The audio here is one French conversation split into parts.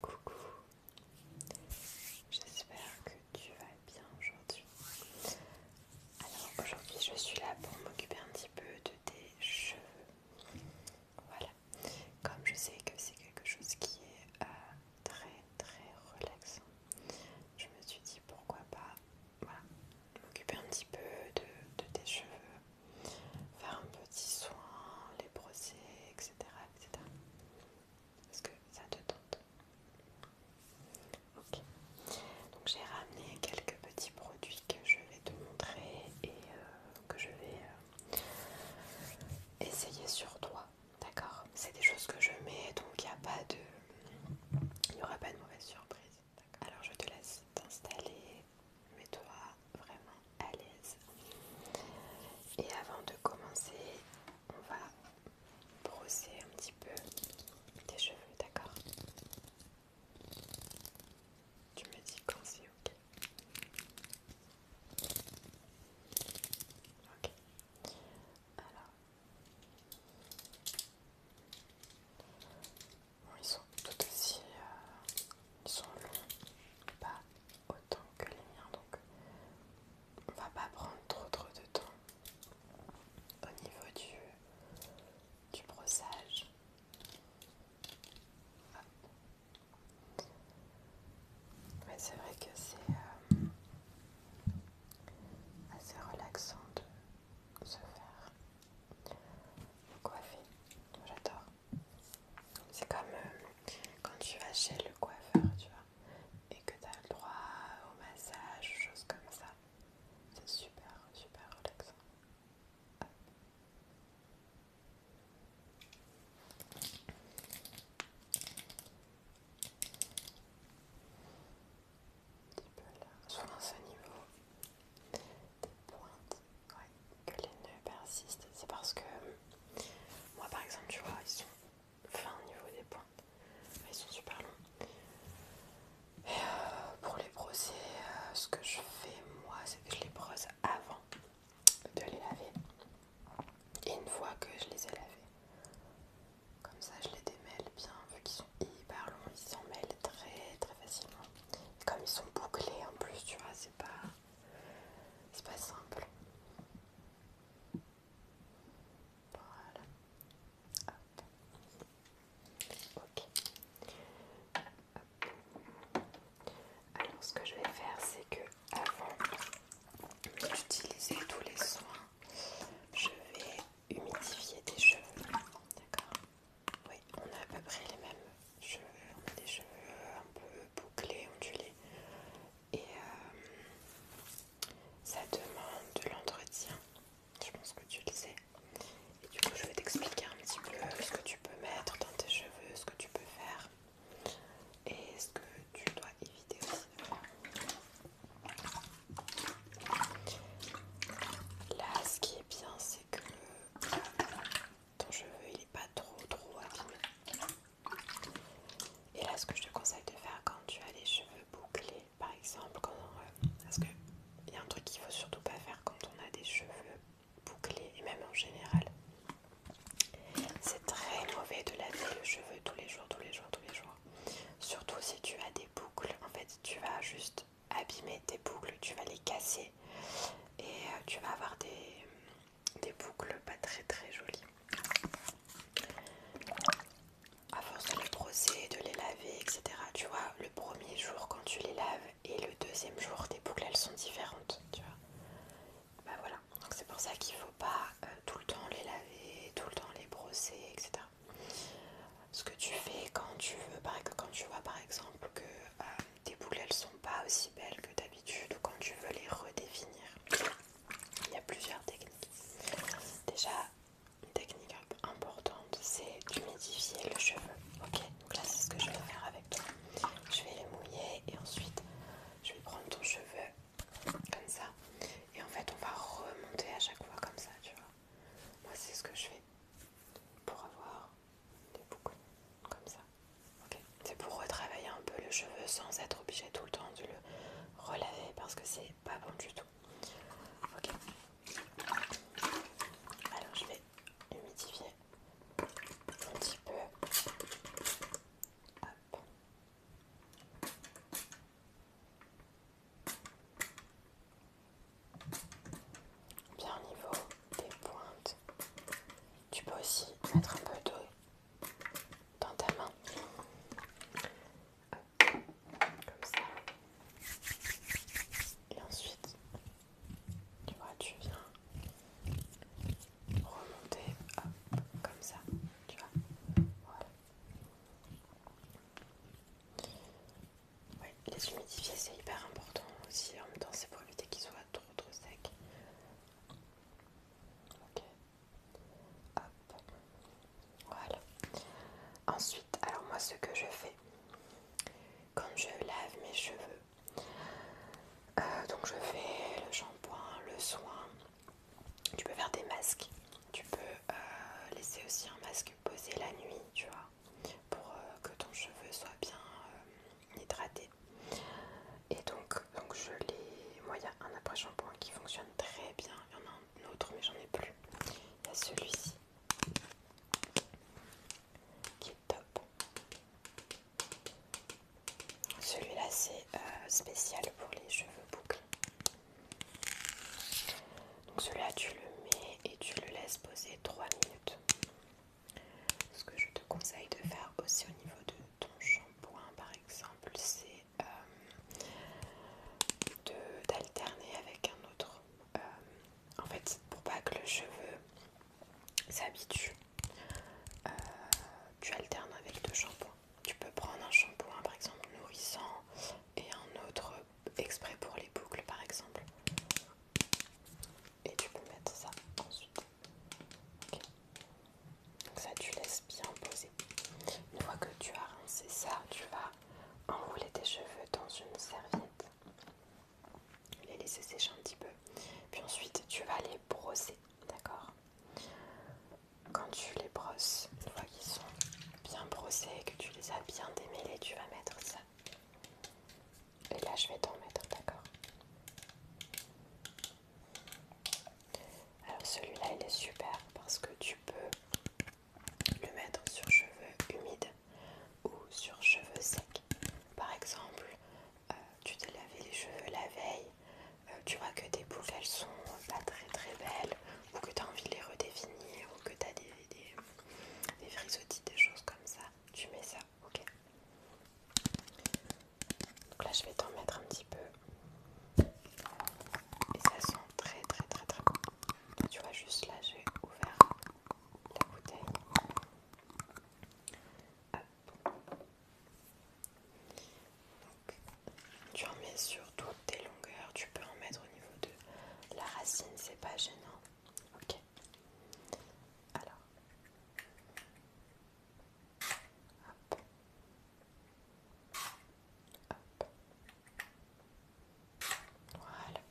Coucou, j'espère que tu vas bien aujourd'hui. Alors aujourd'hui je suis là pour m'occuper un petit peu de tes cheveux. Voilà, comme je sais que c'est quelque chose qui est euh, très très relaxant, je me suis dit pourquoi pas voilà, m'occuper un petit peu de, de tes cheveux, faire un petit soin, les brosser, etc que ça te tente Ok. Donc j'ai ramené quelques petits produits que je vais te montrer et euh, que je vais euh, essayer sur toi. D'accord C'est des choses que je mets, donc il n'y Il n'y aura pas de mauvaise surprise. Alors je te laisse t'installer, mets-toi vraiment à l'aise. Et avant de commencer, on va brosser un petit peu tes cheveux, d'accord Tu me dis quand c'est ok. Ok. Alors. ils sont tout aussi euh, ils sont longs, pas autant que les miens, donc on va pas prendre trop trop de temps au niveau du, brossage. Mais c'est vrai que c'est euh, assez relaxant de se faire coiffer. J'adore. C'est comme euh, quand tu vas chez le coiffeur, tu vois, et que tu as le droit au massage, choses comme ça. C'est super, super relaxant. Un petit peu là, ce niveau des pointes, que les nœuds persistent. C'est parce que moi par exemple, tu vois, ils sont fins au niveau des pointes. Ils sont super longs. Et euh, pour les brosser, euh, ce que je fais moi, c'est que je les brosse avant de les laver. Et une fois que je les ai lavés, comme ça je les démêle bien, vu qu'ils sont hyper longs, ils s'en mêlent très très facilement. comme ils sont bouclés en plus, tu vois, c'est pas c'est pas simple. Voilà. Ok. Alors ce que je vais faire, c'est que avant d'utiliser tous les soins, je vais humidifier tes cheveux. D'accord oui, on a à peu près les mêmes cheveux. On a des cheveux un peu bouclés, ondulés. Et euh, ça demande de l'entretien. Je pense que tu le sais. Et du coup, je vais t'expliquer un petit peu ce que tu peux mettre dans tes cheveux, ce que tu peux faire et ce que tu dois éviter aussi. Là, ce qui est bien, c'est que euh, ton cheveu il est pas trop trop Et là ce que je te conseille de faire quand tu as les cheveux bouclés par exemple, quand, que il y a un truc qu'il faut surtout pas faire quand on a des cheveux bouclés et même en général, c'est très mauvais de laver le cheveux tous les jours, tous les jours, tous les jours. Surtout si tu as des boucles, en fait tu vas juste abîmer tes boucles, tu vas les casser et euh, tu vas avoir des, boucles pas très très jolies. À force de les brosser, de les laver, etc. Tu vois, le premier jour quand tu les laves et le deuxième jour, tes boucles elles sont différentes, tu vois. Bah voilà, donc c'est pour ça qu'il faut pas euh, tout le temps les laver, tout le temps les brosser, etc. Ce que tu fais quand tu veux, par, quand tu vois par exemple que euh, tes boules elles sont pas aussi belles que d'habitude ou quand tu veux les redéfinir. Il y a plusieurs techniques. Déjà, une technique importante c'est d'humidifier le cheveu. Ok, donc là c'est ce que je vais faire avec toi. Je vais les mouiller et ensuite je vais prendre ton cheveu comme ça et en fait on va remonter à chaque fois comme ça, tu vois. Moi c'est ce que je fais pour avoir des boucles comme ça. ok C'est pour retravailler un peu le cheveu sans être obligé tout le temps de le relaver parce que c'est pas bon du tout. Ok. Alors je vais humidifier un petit peu bien au niveau des pointes. Tu peux aussi mettre un peu d'eau dans ta main. Comme ça. Et ensuite, tu vois, tu viens remonter hop, comme ça. Tu vois. Voilà. Ouais, les humidifier c'est hyper important aussi, en même temps c'est pour éviter qu'ils soient trop trop secs. Ok. Hop. Voilà. Ensuite, alors moi ce que je fais quand je lave mes cheveux, euh, donc je fais le shampoing, le soin. Tu peux faire des masques. Tu peux euh, laisser aussi un masque poser la nuit, tu vois pour euh, que ton cheveu soit bien euh, hydraté. Et donc, donc je l'ai. Moi, il y a un après-shampoing qui fonctionne très bien. Il y en a un autre, mais j'en ai plus. Il y a celui-ci qui est top. Celui-là, c'est euh, spécial pour les cheveux bouclés. Donc cela tu le mets et tu le laisses poser 3 minutes. Ce que je te conseille de faire aussi au niveau de ton shampoing par exemple, c'est euh, d'alterner avec un autre. Euh, en fait, pour pas que le cheveu s'habitue, euh, tu alternes avec deux shampoings. Tu peux prendre un shampoing par exemple nourrissant et un autre exprès pour les boucles par exemple. Et tu peux mettre ça ensuite. Donc ça tu laisses bien poser. Une fois que tu as rincé ça, tu vas enrouler tes cheveux dans une serviette. Les laisser sécher un petit peu. Puis ensuite tu vas les brosser. D'accord Quand tu les brosses, une fois qu'ils sont bien brossés que tu les as bien démêlés, tu vas mettre ça et là, je vais t'en mettre, d'accord Alors celui-là, il est super parce que tu peux le mettre sur cheveux humides ou sur cheveux secs. Par exemple, euh, tu t'es lavé les cheveux la veille, euh, tu vois que tes boucles elles sont pas très très belles ou que tu as envie de les redéfinir ou que tu as des, des frisottis, des choses comme ça, tu mets ça, ok Donc là je vais t'en mettre un petit peu et ça sent très très très très bon. tu vois juste là j'ai ouvert la bouteille. Donc, tu en mets sur tout des longueurs, tu peux en mettre au niveau de la racine, c'est pas gênant. Ok. Alors. Hop. Hop. Voilà.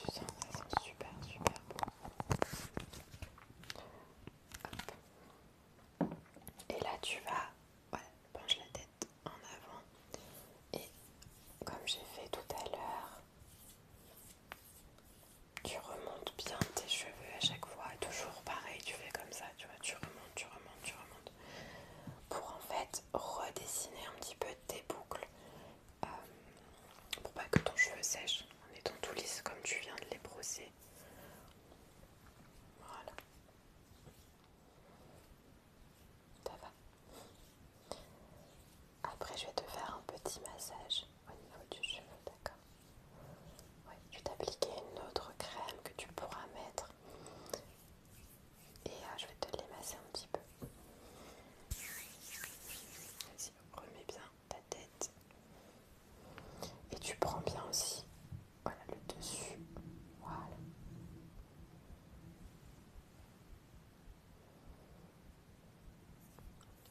ça sent super, super bon. Hop. Et là, tu vas, voilà, penche la tête en avant. Et comme j'ai fait tout à l'heure, tu remontes bien tes cheveux à chaque fois. Toujours pareil, tu fais comme ça, tu vois, tu remontes, tu remontes, tu remontes. Pour en fait redessiner un petit peu tes boucles. Euh, pour pas que ton cheveu sèche en étant tout lisse comme tu viens de les brosser. Voilà. Ça va. Après, je vais te faire un petit massage au niveau du cheveu, d'accord Oui, je vais t'appliquer une autre crème que tu pourras mettre. Et euh, je vais te les masser un petit peu. Vas-y, remets bien ta tête. Et tu prends bien aussi voilà le dessus. Voilà.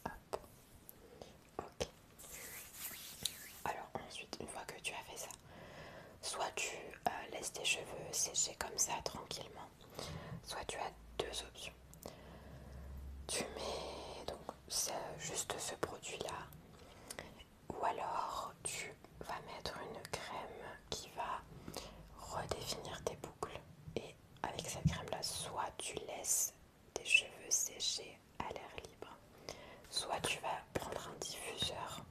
Hop. Ok. Alors ensuite, une fois que tu as fait ça, soit tu euh, laisses tes cheveux sécher comme ça tranquillement, soit tu as deux options. Tu mets donc c'est juste ce produit-là. Ou alors tu vas mettre une crème qui va redéfinir tes boucles. Et avec cette crème-là, soit tu laisses tes cheveux sécher à l'air libre, soit tu vas prendre un diffuseur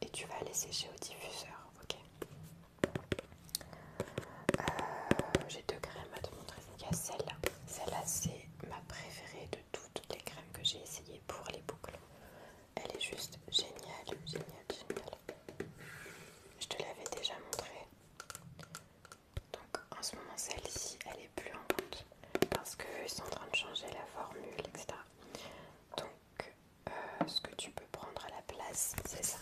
et tu vas les sécher au diffuseur. Ok. Euh, j'ai deux crèmes à te montrer. Il y a celle-là. Celle-là, c'est ma préférée de toutes les crèmes que j'ai essayées pour les boucles. Elle est juste géniale, géniale, géniale. Je te l'avais déjà montré. Donc en ce moment celle-ci elle est plus en compte parce qu'ils sont en train de changer la formule, etc. Donc euh, ce que tu peux prendre à la place c'est ça.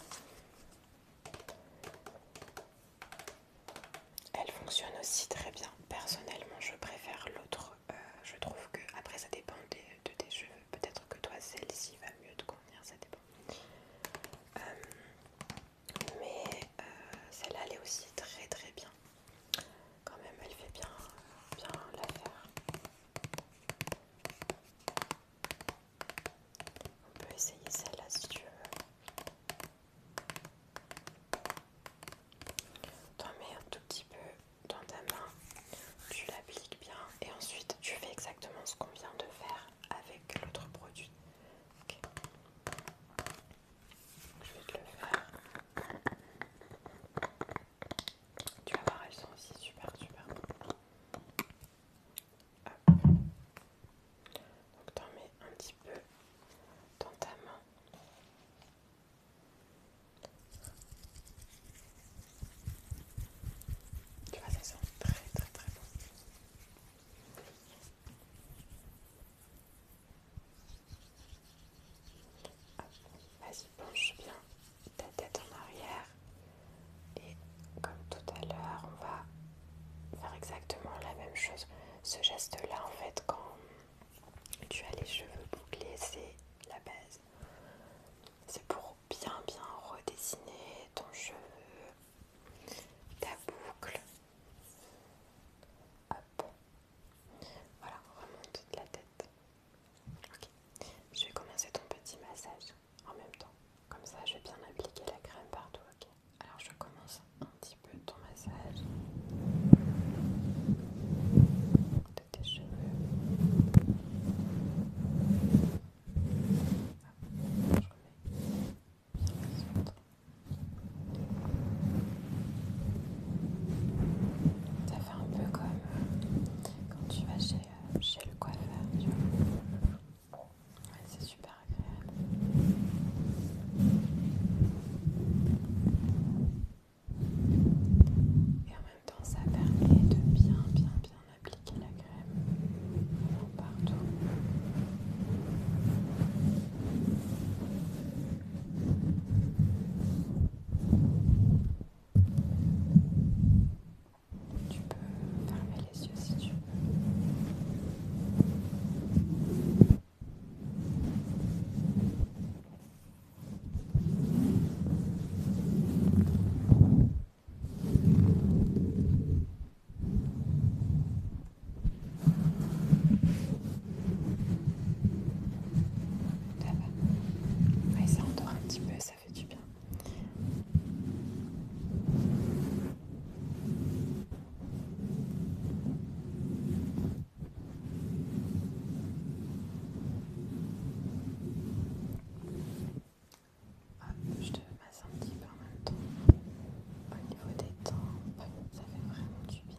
Elle fonctionne aussi très bien. Personnellement, je préfère l'autre. Euh, je trouve que, après, ça dépend de, tes cheveux. Peut-être que toi, celle-ci va mieux te convenir, ça dépend. Euh, mais euh, celle-là, elle est aussi très très bien. Quand même, elle fait bien, bien l'affaire. On peut essayer celle-là si tu veux en mets un tout petit peu dans ta main, tu l'appliques bien et ensuite tu fais exactement ce qu'on vient de faire avec l'autre produit. Je vais te le faire. Tu vas voir, elles sont aussi super super. Donc t'en mets un petit peu dans ta main. Tu vois, ça sent très très très bon. Vas-y, penche bien ta tête en arrière. Et comme tout à l'heure, on va faire exactement la même chose. Ce geste-là, en fait, quand tu as les cheveux bouclés, c'est la base. C'est pour bien, bien redessiner ton cheveu, ta boucle. Hop. Voilà, remonte de la tête. Ok. Je vais commencer ton petit massage en même temps. Comme ça, je vais bien appliquer la crème partout, ok alors je commence un petit peu ton massage de tes cheveux. Ça fait un peu comme quand tu vas chez, euh, chez le coiffeur, tu vois c'est super agréable. Et en même temps, ça permet de bien, bien, bien appliquer la crème partout. Tu peux les si tu veux. Et ça endort un petit peu, ça fait du bien je te masse un petit peu en même temps. Au niveau des temps. ça fait vraiment du bien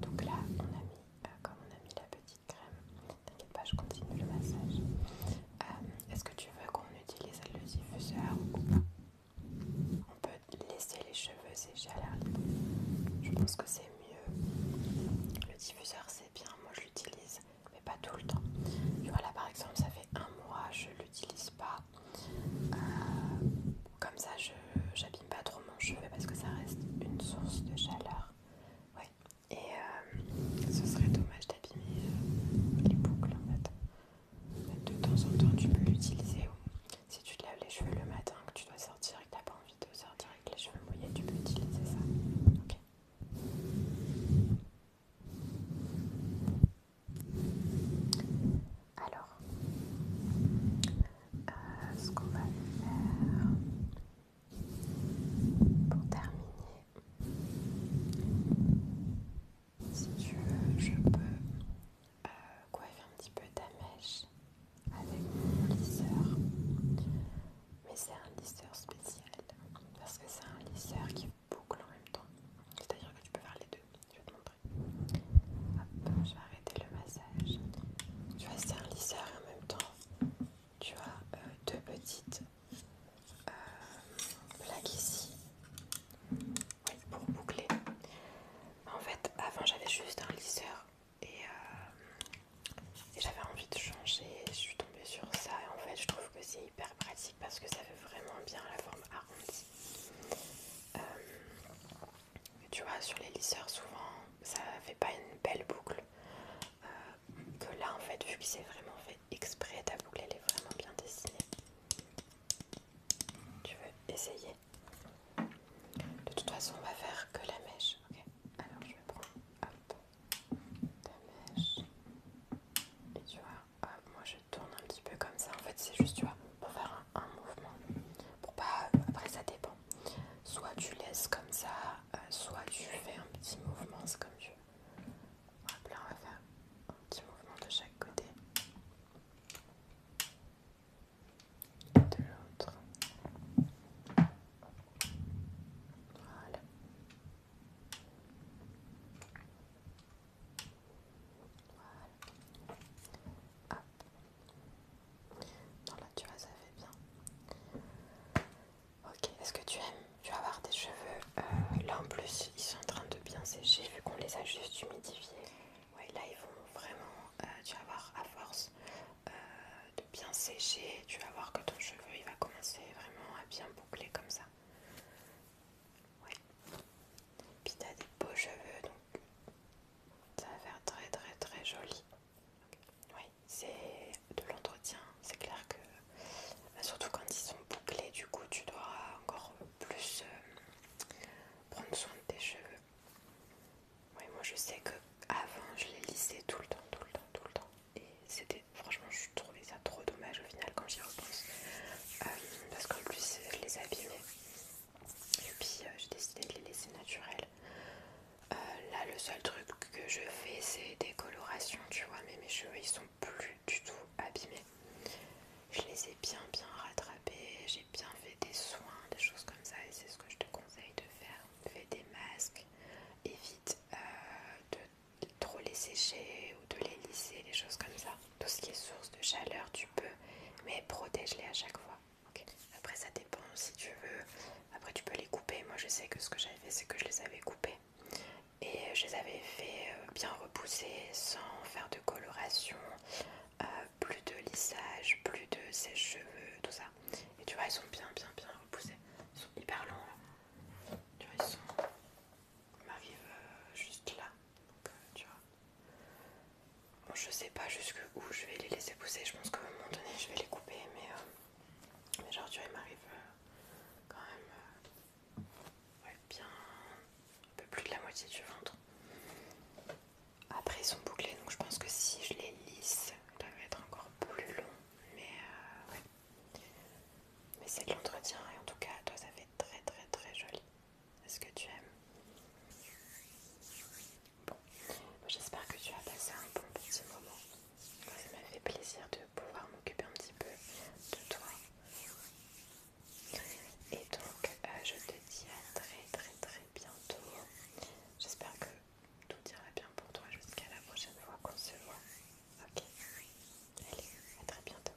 Donc là, on a mis, euh, comme on a mis la petite crème, t'inquiète pas, je continue le massage. Euh, est-ce que tu veux qu'on utilise le diffuseur ou pas On peut laisser les cheveux sécher à l'air Je pense que c'est mieux. Le diffuseur, c'est bien, moi je l'utilise, mais pas tout le temps. Tu par exemple, ça fait un mois, je l'utilise pas. Euh, comme ça, je j'abîme pas trop mon cheveu parce que ça reste une source de chaleur. Et euh, ce serait dommage d'abîmer euh, les boucles en fait. De temps en temps, tu peux l'utiliser. Si tu te laves les cheveux le matin, que tu dois sortir et que tu n'as pas envie de sortir avec les cheveux mouillés, tu peux utiliser ça. Ok. Alors, euh, ce qu'on va faire pour terminer, si tu veux, je peux euh, coiffer un petit peu ta mèche avec mon lisseur, mais c'est un lisseur spécial parce que c'est un lisseur qui boucle en même temps, c'est à dire que tu peux faire les deux. Je vais te je vais arrêter le massage. Tu vois, c'est un lisseur et en même temps, tu as euh, deux petites plaques euh, ici pour boucler. En fait, avant j'avais juste un lisseur et, euh, j'avais envie de changer. Je suis tombée sur ça et en fait, je trouve que c'est hyper pratique parce que ça fait vraiment bien la forme arrondie tu vois, sur les lisseurs, souvent, ça fait pas une belle boucle. Euh, que là, en fait, vu qu'il s'est vraiment fait exprès, ta boucle, elle est vraiment bien dessinée. Tu veux essayer De toute façon, on va faire que la mèche. Ok, alors je vais prendre, hop, ta mèche. Et tu vois, hop, moi je tourne un petit peu comme ça. En fait, c'est juste, tu vois, pour faire un, mouvement. Pour pas, après ça dépend. Soit tu laisses comme ça, euh, soit tu fais un petit mouvement, c'est comme tu veux. là, on va faire un petit mouvement de chaque côté. Et de l'autre. Voilà. Voilà. Hop. Non, là, tu vois, ça fait bien. Ok, est-ce que tu aimes Tu vas avoir des cheveux. Euh, là, en plus, ils sont en train de bien sécher vu qu'on les a juste humidifiés. Ouais, là, ils vont vraiment. Euh, tu vas voir, à force euh, de bien sécher, tu vas voir que ton cheveu il va commencer vraiment à bien boucler comme ça. Oui. Puis t'as des beaux cheveux, donc ça va faire très très très joli. Oui, c'est de l'entretien. C'est clair que, bah, surtout quand ils sont bouclés, du coup, tu dois encore plus euh, prendre soin de tes cheveux. Oui, moi je sais que avant, je les lissais tout le temps, tout le temps, tout le temps. Et c'était, franchement, je trouvais ça trop dommage au final quand j'y repense. Euh, parce qu'en plus, je les abîmais. Et puis euh, j'ai décidé de les laisser naturels. Euh, là, le seul truc que je fais, c'est des colorations, tu vois. Mais mes cheveux, ils sont plus du tout abîmés. Je les ai bien, bien rattrapés. J'ai bien fait des soins, des choses comme ça. Et c'est ce que je te conseille de faire. Fais des masques. Évite euh, de trop les sécher ou de les lisser, des choses comme ça tout ce qui est source de chaleur, tu peux, mais protège-les à chaque fois. Après, ça dépend si tu veux. Après, tu peux les couper. Moi, je sais que ce que j'avais fait, c'est que je les avais coupés et je les avais fait euh, bien repousser sans faire de coloration, euh, plus de lissage, plus de sèche-cheveux, tout ça. Et tu vois, ils sont bien, bien, bien repoussés. Ils sont hyper longs Tu vois, ils sont. Ils m'arrivent euh, juste là. Donc, tu vois. Bon, je sais pas jusque où je vais les laisser pousser. Je pense qu'à un moment donné, je vais les couper. Mais, euh, genre, m'arrive euh, quand même euh, bien un peu plus de la moitié du ventre. Après, ils sont bouclés, donc je pense que si je les lisse, ça va être encore plus long. Mais, ouais. mais c'est de l'entretien et en tout cas, toi, ça fait très très très joli. Est-ce que tu aimes Bon, j'espère que tu as passé un bon petit moment. Ça m'a fait plaisir de pouvoir m'occuper un petit peu de toi. Et donc, euh, je te dis à très très très bientôt. J'espère que tout ira bien pour toi jusqu'à la prochaine fois qu'on se voit. Ok Allez, à très bientôt.